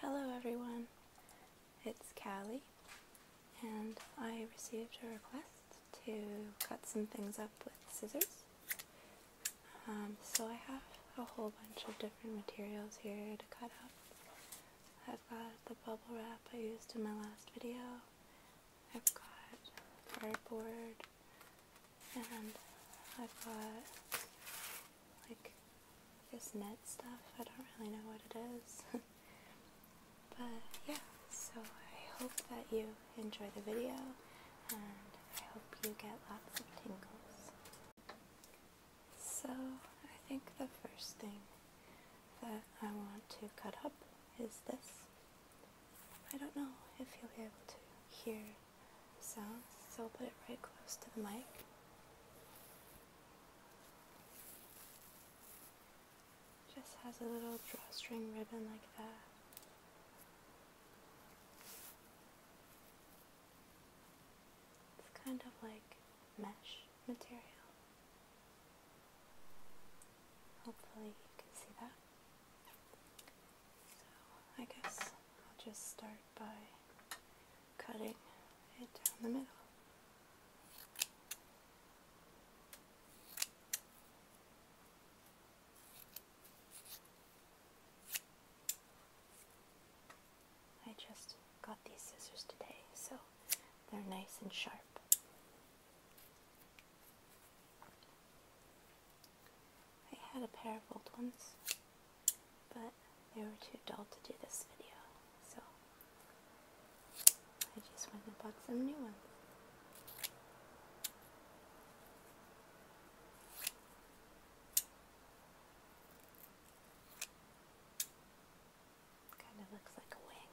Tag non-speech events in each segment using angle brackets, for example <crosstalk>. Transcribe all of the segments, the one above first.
Hello everyone, it's Callie and I received a request to cut some things up with scissors. Um, so I have a whole bunch of different materials here to cut up. I've got the bubble wrap I used in my last video. I've got cardboard and I bought like this net stuff. I don't really know what it is. <laughs> but yeah, so I hope that you enjoy the video and I hope you get lots of tingles. So I think the first thing that I want to cut up is this. I don't know if you'll be able to hear sounds, so I'll put it right close to the mic. Just has a little drawstring ribbon like that. It's kind of like mesh material. Hopefully you can see that. I guess I'll just start by cutting it down the middle. I just got these scissors today, so they're nice and sharp. I had a pair of old ones, but they were too dull to do this video, so I just went and bought some new ones. Kind of looks like a wing.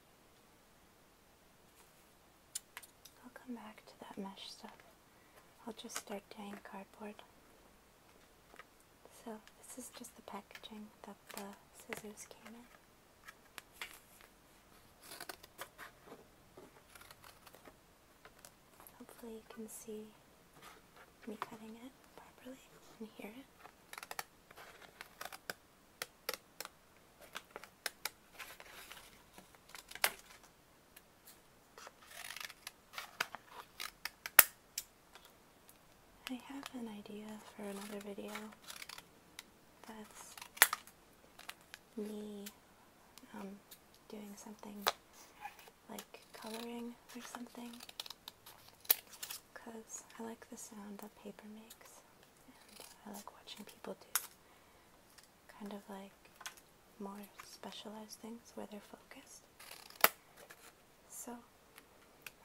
I'll come back to that mesh stuff. I'll just start doing cardboard. So this is just the packaging that the scissors came in. Hopefully you can see me cutting it properly and hear it. I have an idea for another video that's me um, doing something like coloring or something because I like the sound that paper makes and I like watching people do kind of like more specialized things where they're focused. So,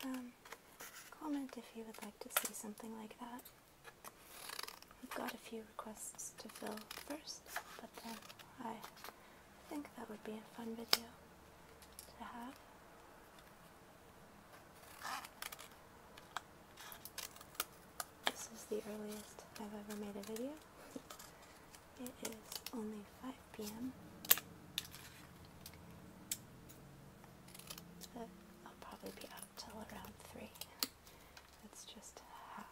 um, comment if you would like to see something like that. we have got a few requests to fill first, but then I think that would be a fun video to have. This is the earliest I've ever made a video. <laughs> it is only 5 p.m. I'll probably be up till around 3. <laughs> That's just how.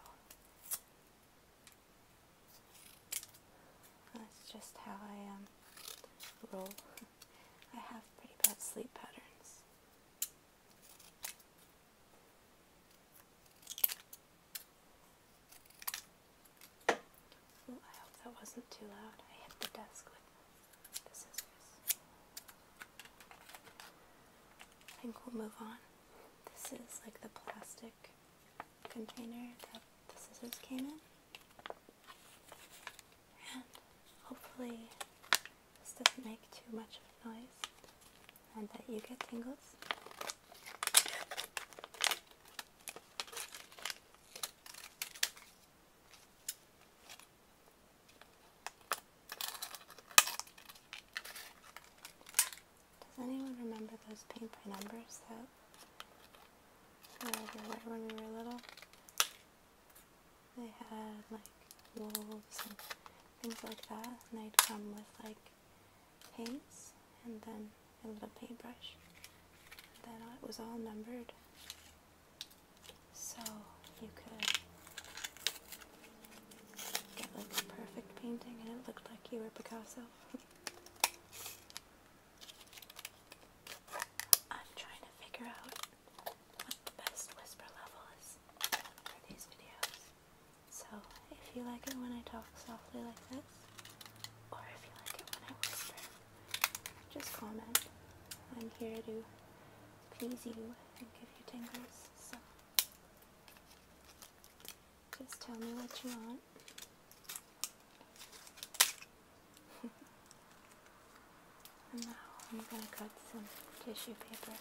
That's just how I am. Um, roll. <laughs> I have pretty bad sleep patterns. I hope that wasn't too loud. I hit the desk with the scissors. I think we'll move on. This is like the plastic container that the scissors came in hopefully this doesn't make too much noise and that you get tingles. Does anyone remember those paint by numbers that were everywhere when we were little? They had like wolves and things like that, and they'd come with like paints and then a little paintbrush. And then it was all numbered, so you could get like a perfect painting, and it looked like you were Picasso. <laughs> I'm trying to figure out what the best whisper level for these videos. So if you like it when I talk softly like this, or if you like it when I whisper, just comment. I'm here to please you and give you tingles. So just tell me what you want and <laughs> now I'm going to cut some tissue paper.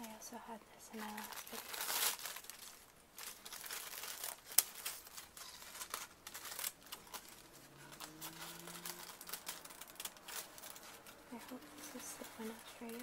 I also had this in my last video. I hope this is the enough for you.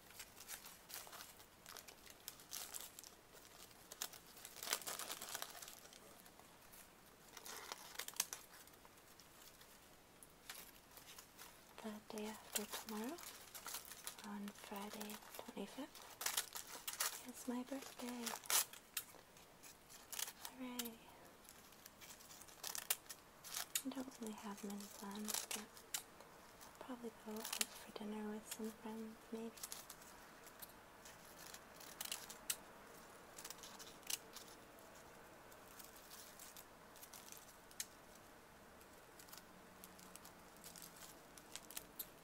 The day after tomorrow, on Friday 25th, it's my birthday. Hooray! I don't really have many plans, but I'll probably go out for dinner with some friends, maybe.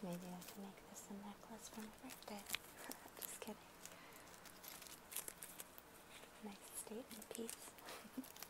Maybe I can make this a necklace for my birthday. <laughs> Just kidding. Nice statement piece. <laughs>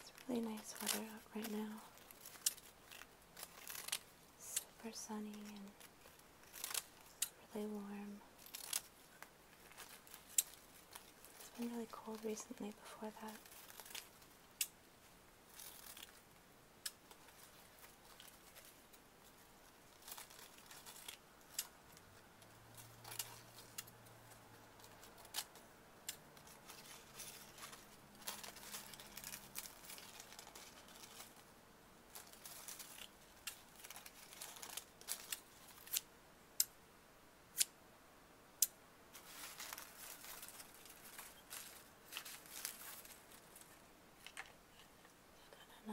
It's really nice weather out right now. Super sunny and really warm. It's been really cold recently before that.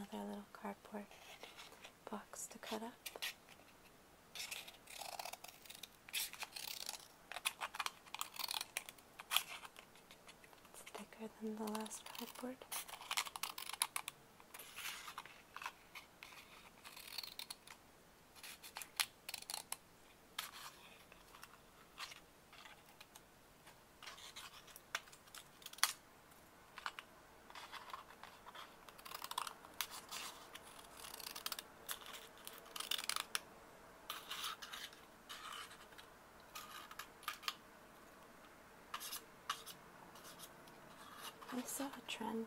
Got another little cardboard box to cut up. It's thicker than the last cardboard. I saw a trend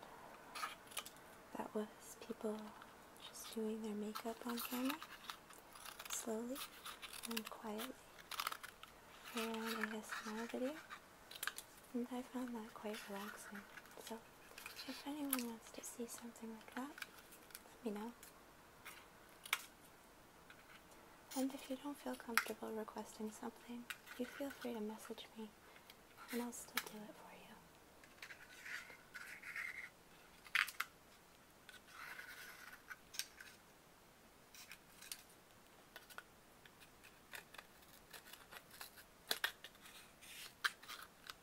that was people just doing their makeup on camera slowly and quietly around a video and I found that quite relaxing if anyone wants to see something like that, let me know. And if you don't feel comfortable requesting something, you feel free to message me and I'll still do it for you.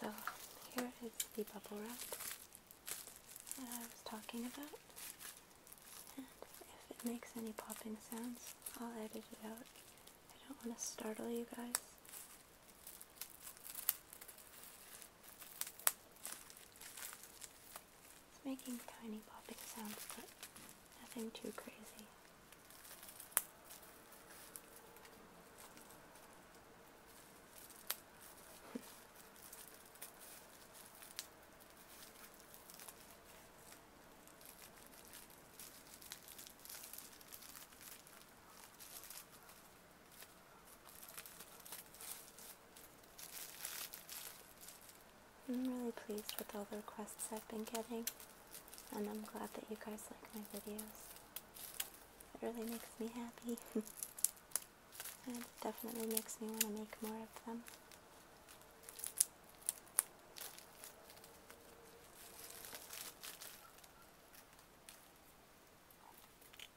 So here is the bubble wrap that I was talking about. if it makes any popping sounds, I'll edit it out. I don't want to startle you guys. It's making tiny popping sounds, but nothing too crazy. <laughs> I'm really pleased with all the requests I've been getting, and I'm glad that you guys like my videos. It really makes me happy, and <laughs> definitely makes me want to make more of them.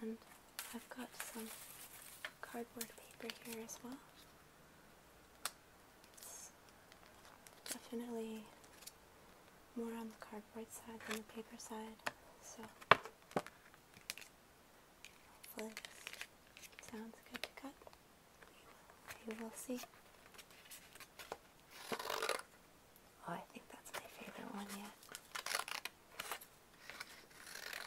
And I've got some cardboard paper here as well. definitely more on the cardboard side than the paper side, so hopefully this sounds good to cut. We will see. Oh, I think that's my favorite one yet.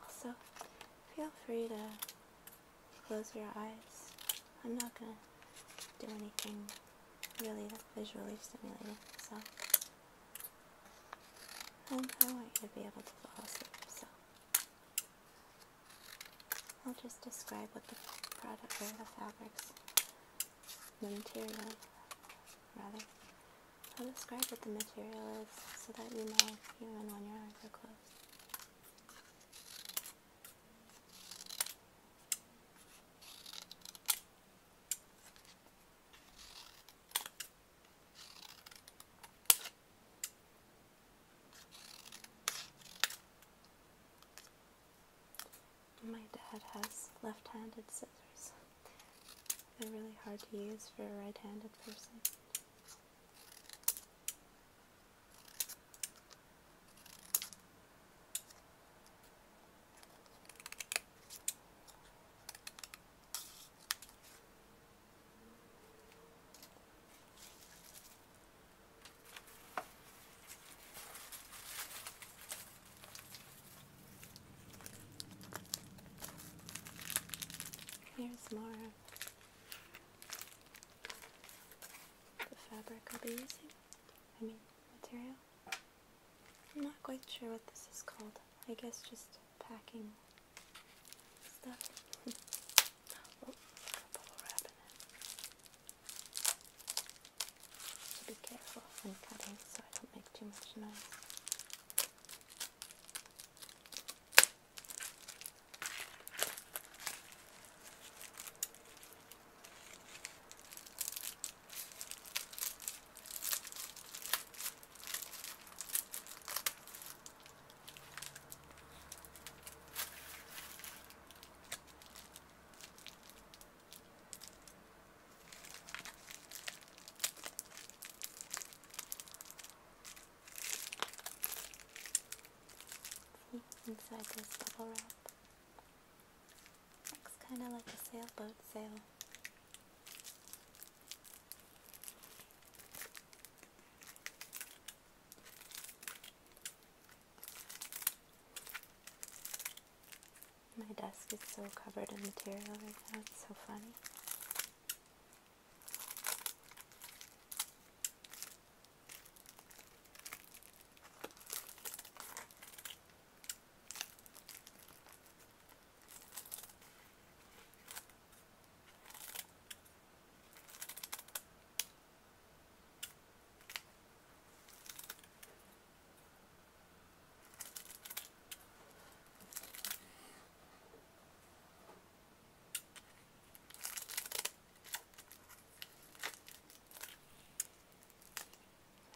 Also, feel free to close your eyes. I'm not going to do anything really visually stimulating, so I want you to be able to fall asleep. So I'll just describe what the product or the fabrics, the material rather. I'll describe what the material is so that you know even when your eyes are closed. My dad has left handed scissors, they're really hard to use for a right handed person. Here's more the fabric I'll be using. I mean, material. I'm not quite sure what this is called. I guess just packing stuff. be careful when cutting so I don't make too much noise. See, inside this bubble wrap. Looks kind of like a sailboat sail. My desk is so covered in material right now, it's so funny.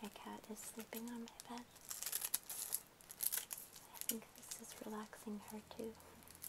My cat is sleeping on my bed. I think this is relaxing her too. <laughs>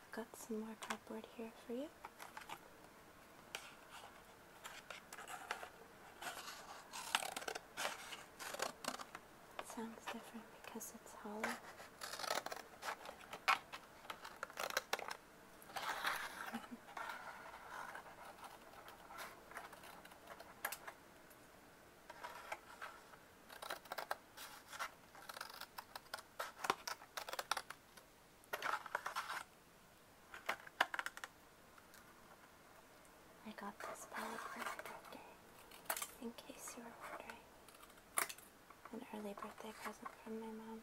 I've got some more cardboard here for you. sounds different because it's hollow. <laughs> I got this palette for my birthday, in case you were wondering. An early birthday present from my mom.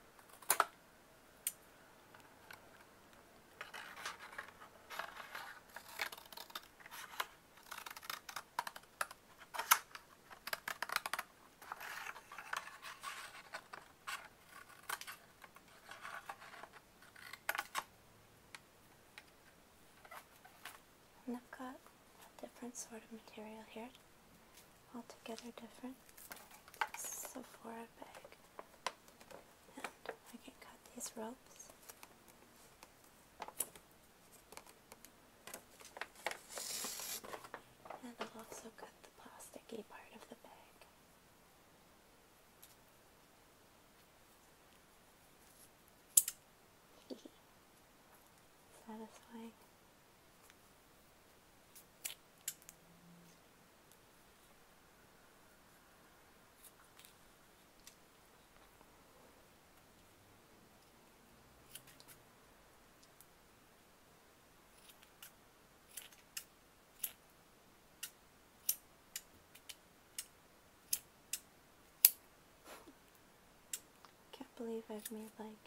And I've got a different sort of material here, altogether different. This is a Sephora bag. I can cut these ropes and I'll also cut the plasticky part of the bag. <laughs> Satisfying. Can't believe I've made like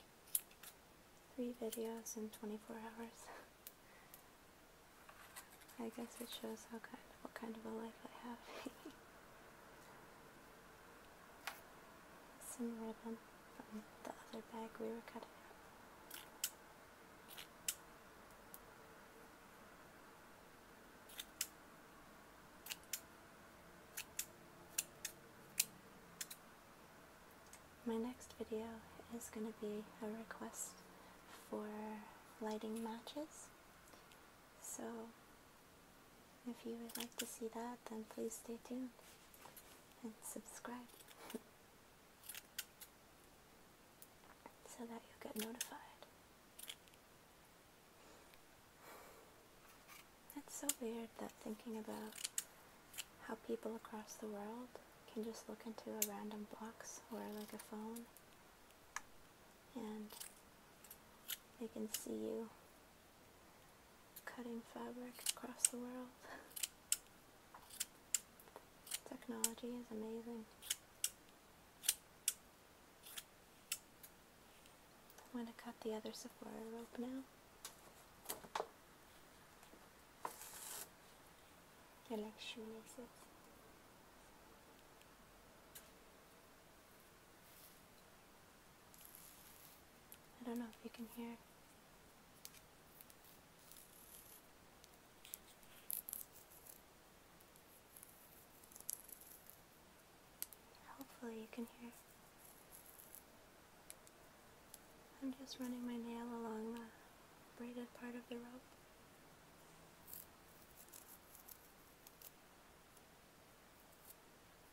three videos in 24 hours. <laughs> I guess it shows what kind of a life I have. <laughs> some ribbon from the other bag we were cutting out. My next video is going to be a request for lighting matches. So if you would like to see that, then please stay tuned and subscribe <laughs> so that you'll get notified. It's so weird that thinking about how people across the world can just look into a random box or like a phone and they can see you cutting fabric across the world. Technology is amazing. I'm going to cut the other Sephora rope now. I like shoelaces. I don't know if you can hear. Hopefully, you can hear. I'm just running my nail along the braided part of the rope.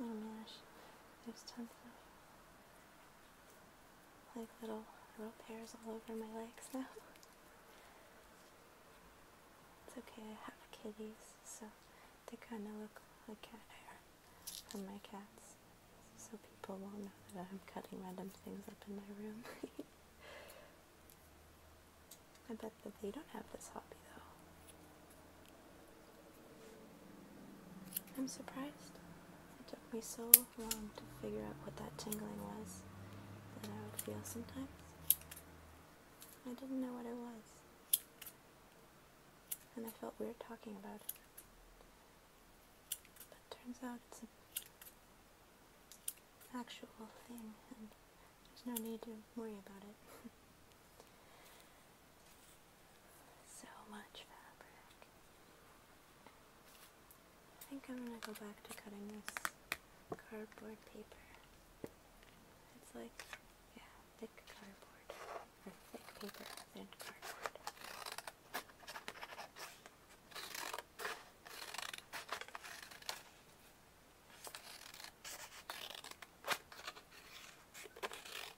Oh my gosh, there's tons of like little rope hairs all over my legs now. It's okay, I have kitties, so they kind of look like cat hair from my cats, so people won't know that I'm cutting random things up in my room. <laughs> I bet that they don't have this hobby though. I'm surprised. It took me so long to figure out what that tingling was that I would feel sometimes. I didn't know what it was. And I felt weird talking about it. But turns out it's an actual thing, and there's no need to worry about it. <laughs> So much fabric. I think I'm gonna go back to cutting this cardboard paper. It's like, yeah, thick cardboard. Or thick paper, and cardboard.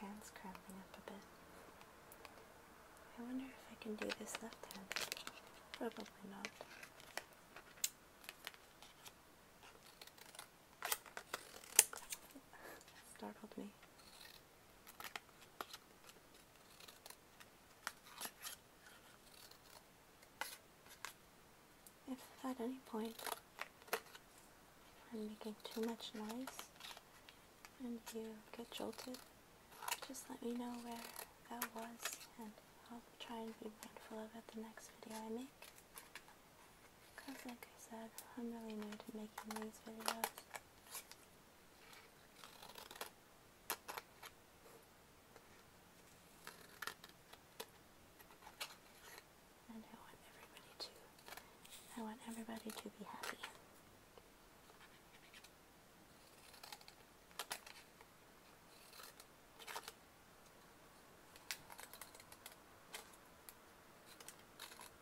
Hands cramping up a bit. I wonder if I can do this left hand. Probably not. Startled me. If at any point I'm making too much noise and you get jolted, just let me know where that was and I'll try and be mindful of it the next video I make. Because like I said, I'm really new to making these videos. And I want everybody to I want everybody to be happy.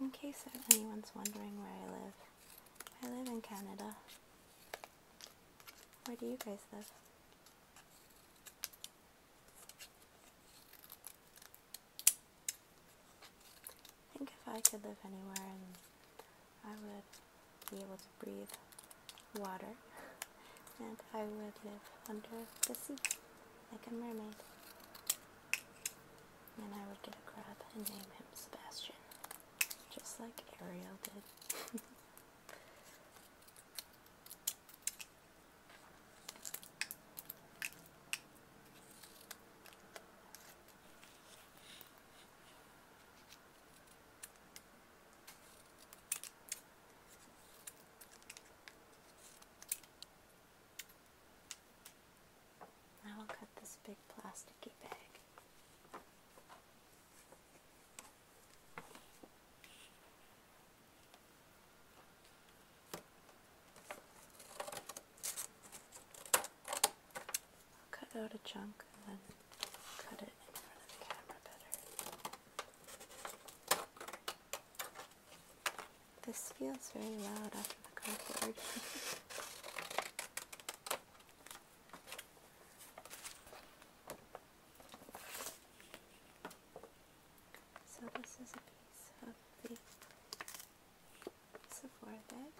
In case anyone's wondering where I live, I live in Canada. Where do you guys live? I think if I could live anywhere I would be able to breathe water <laughs> and I would live under the sea like a mermaid. And I would get a crab and name him Sebastian. Just like Ariel did. I will cut this big plasticky bag. I'll cut out a chunk and then cut it in front of the camera better. This feels very loud after the cardboard. <laughs> so this is a piece of the Sephora bag.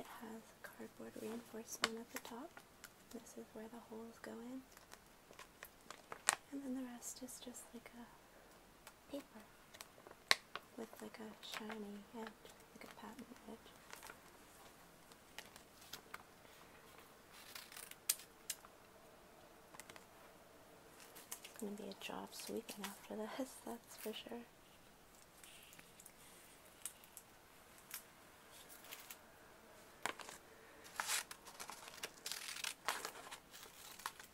It has cardboard reinforcement at the top. This is where the holes go in. And then the rest is just like a paper with like a shiny edge, like a patent edge. It's going to be a job sweeping after this, <laughs> that's for sure.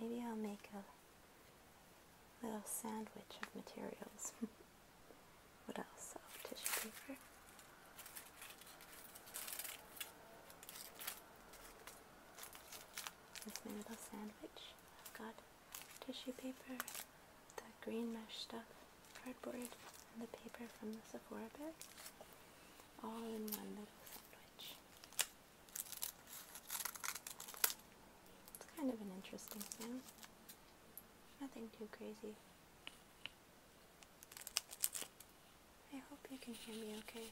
Maybe I'll make a little sandwich of materials. <laughs> what else? Oh, tissue paper. There's my little sandwich. I've got tissue paper, the green mesh stuff, cardboard, and the paper from the Sephora bag. All in one little sandwich. It's kind of an interesting thing. Nothing too crazy. I hope you can hear me okay.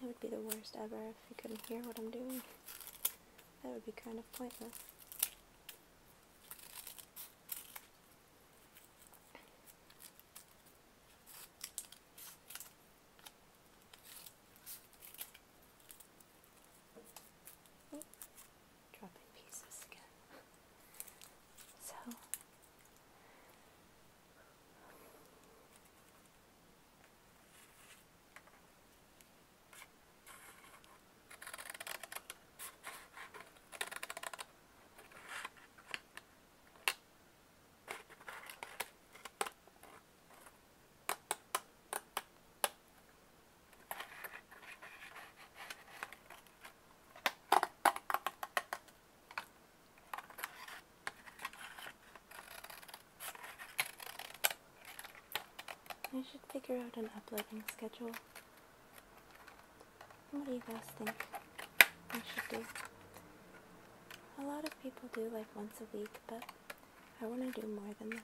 That would be the worst ever if you couldn't hear what I'm doing. That would be kind of pointless dropping pieces again. So I should figure out an uploading schedule. What do you guys think I should do? A lot of people do like once a week, but I want to do more than that.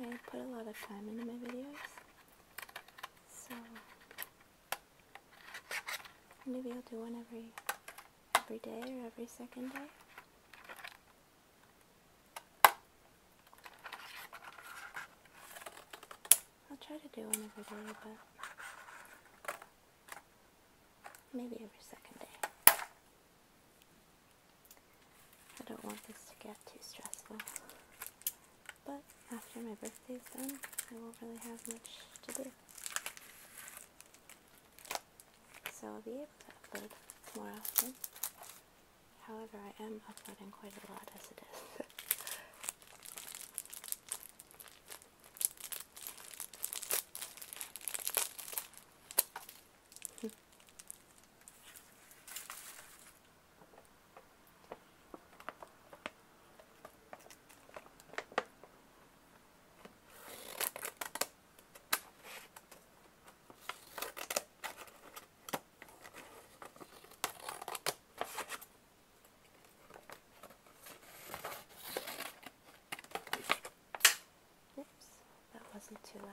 I put a lot of time into my videos, so maybe I'll do one every every day or every second day. I'll try to do one every day, but maybe every second day. I don't want this to get too stressful. But after my birthday's done, I won't really have much to do. So I'll be able to upload more often. However, I am uploading quite a lot as it is. <laughs> Oops, that wasn't too loud.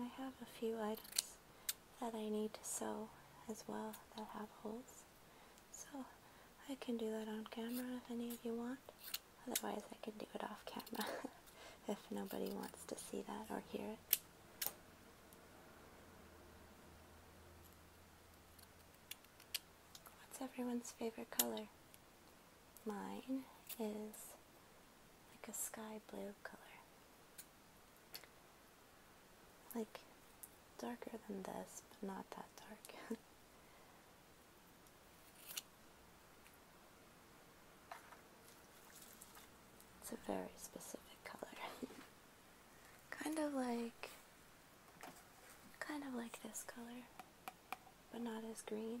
I have a few items that I need to sew as well that have holes. So I can do that on camera if any of you want. Otherwise I can do it off camera <laughs> if nobody wants to see that or hear it. What's everyone's favorite color? Mine is like a sky blue color. Like darker than this, but not that dark. <laughs> it's a very specific color. <laughs> kind of like Kind of like this color, but not as green.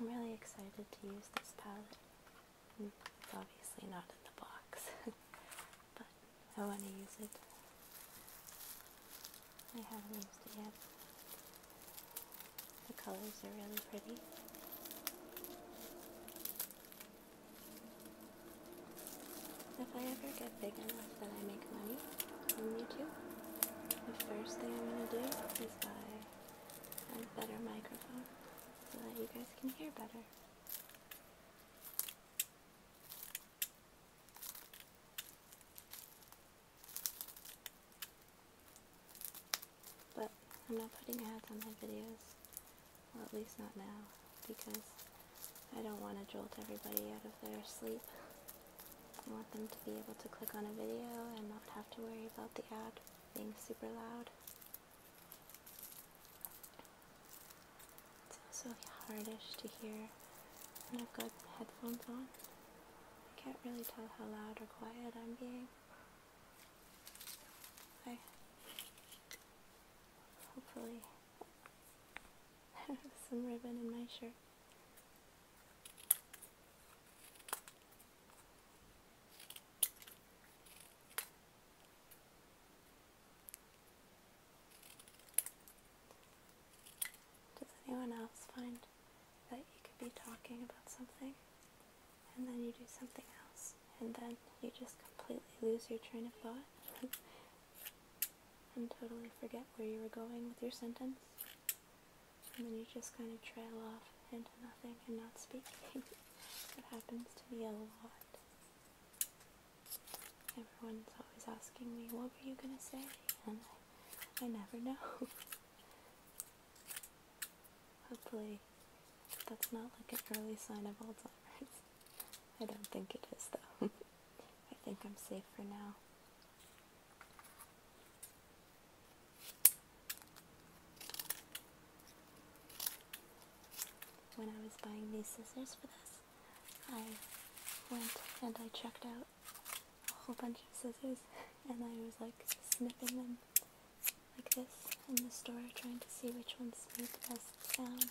I'm really excited to use this palette. It's obviously not in the box. <laughs> but I want to use it. I haven't used it yet. The colors are really pretty. If I ever get big enough that I make money on YouTube, the first thing I'm going to do is buy a better microphone so that you guys can hear better. But I'm not putting ads on my videos, well at least not now, because I don't want to jolt everybody out of their sleep. I want them to be able to click on a video and not have to worry about the ad being super loud. It's also hardish to hear when I've got headphones on. I can't really tell how loud or quiet I'm being. I hopefully have <laughs> some ribbon in my shirt. Does anyone else find that you could be talking about something and then you do something else and then you just completely lose your train of thought <laughs> and totally forget where you were going with your sentence and then you just kind of trail off into nothing and not speak? <laughs> It happens to me a lot. Everyone's always asking me, what were you gonna say? And I, never know. <laughs> Hopefully, that's not like an early sign of Alzheimer's. I don't think it is though. <laughs> I think I'm safe for now. When I was buying these scissors for this, I went and I checked out a whole bunch of scissors and I was like snipping them like this in the store trying to see which ones made the best sound.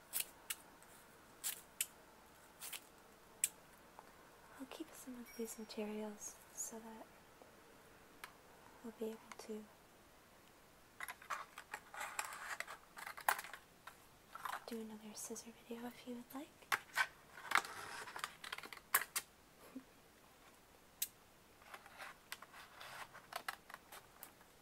I'll keep some of these materials so that we'll be able to do another scissor video if you would like. <laughs>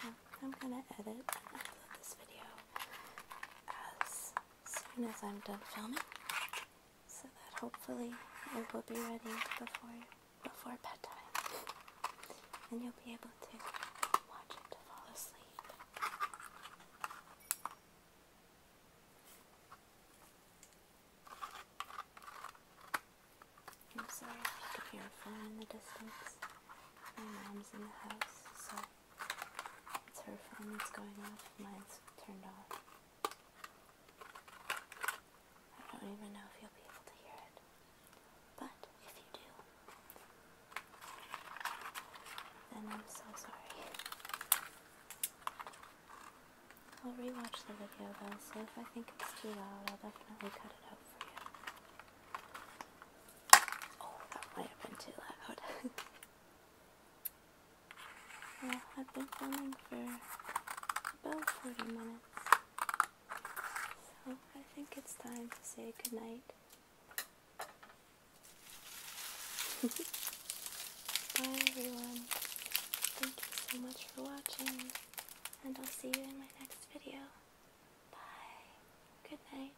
So I'm gonna edit and upload this video as soon as I'm done filming so that hopefully it will be ready before before bedtime and you'll be able to watch it to fall asleep. i if you hear a phone in the distance. My mom's in the house, so it's her phone that's going off, mine's turned off. I don't even know if you'll be able to hear it, but if you do, then I'm so sorry. I'll rewatch the video though, so if I think it's too loud, I'll definitely cut it out for you. Oh, that might have been too loud. <laughs> I've been filming for about 40 minutes. So I think it's time to say goodnight. <laughs> Bye everyone. Thank you so much for watching. And I'll see you in my next video. Bye. Good night.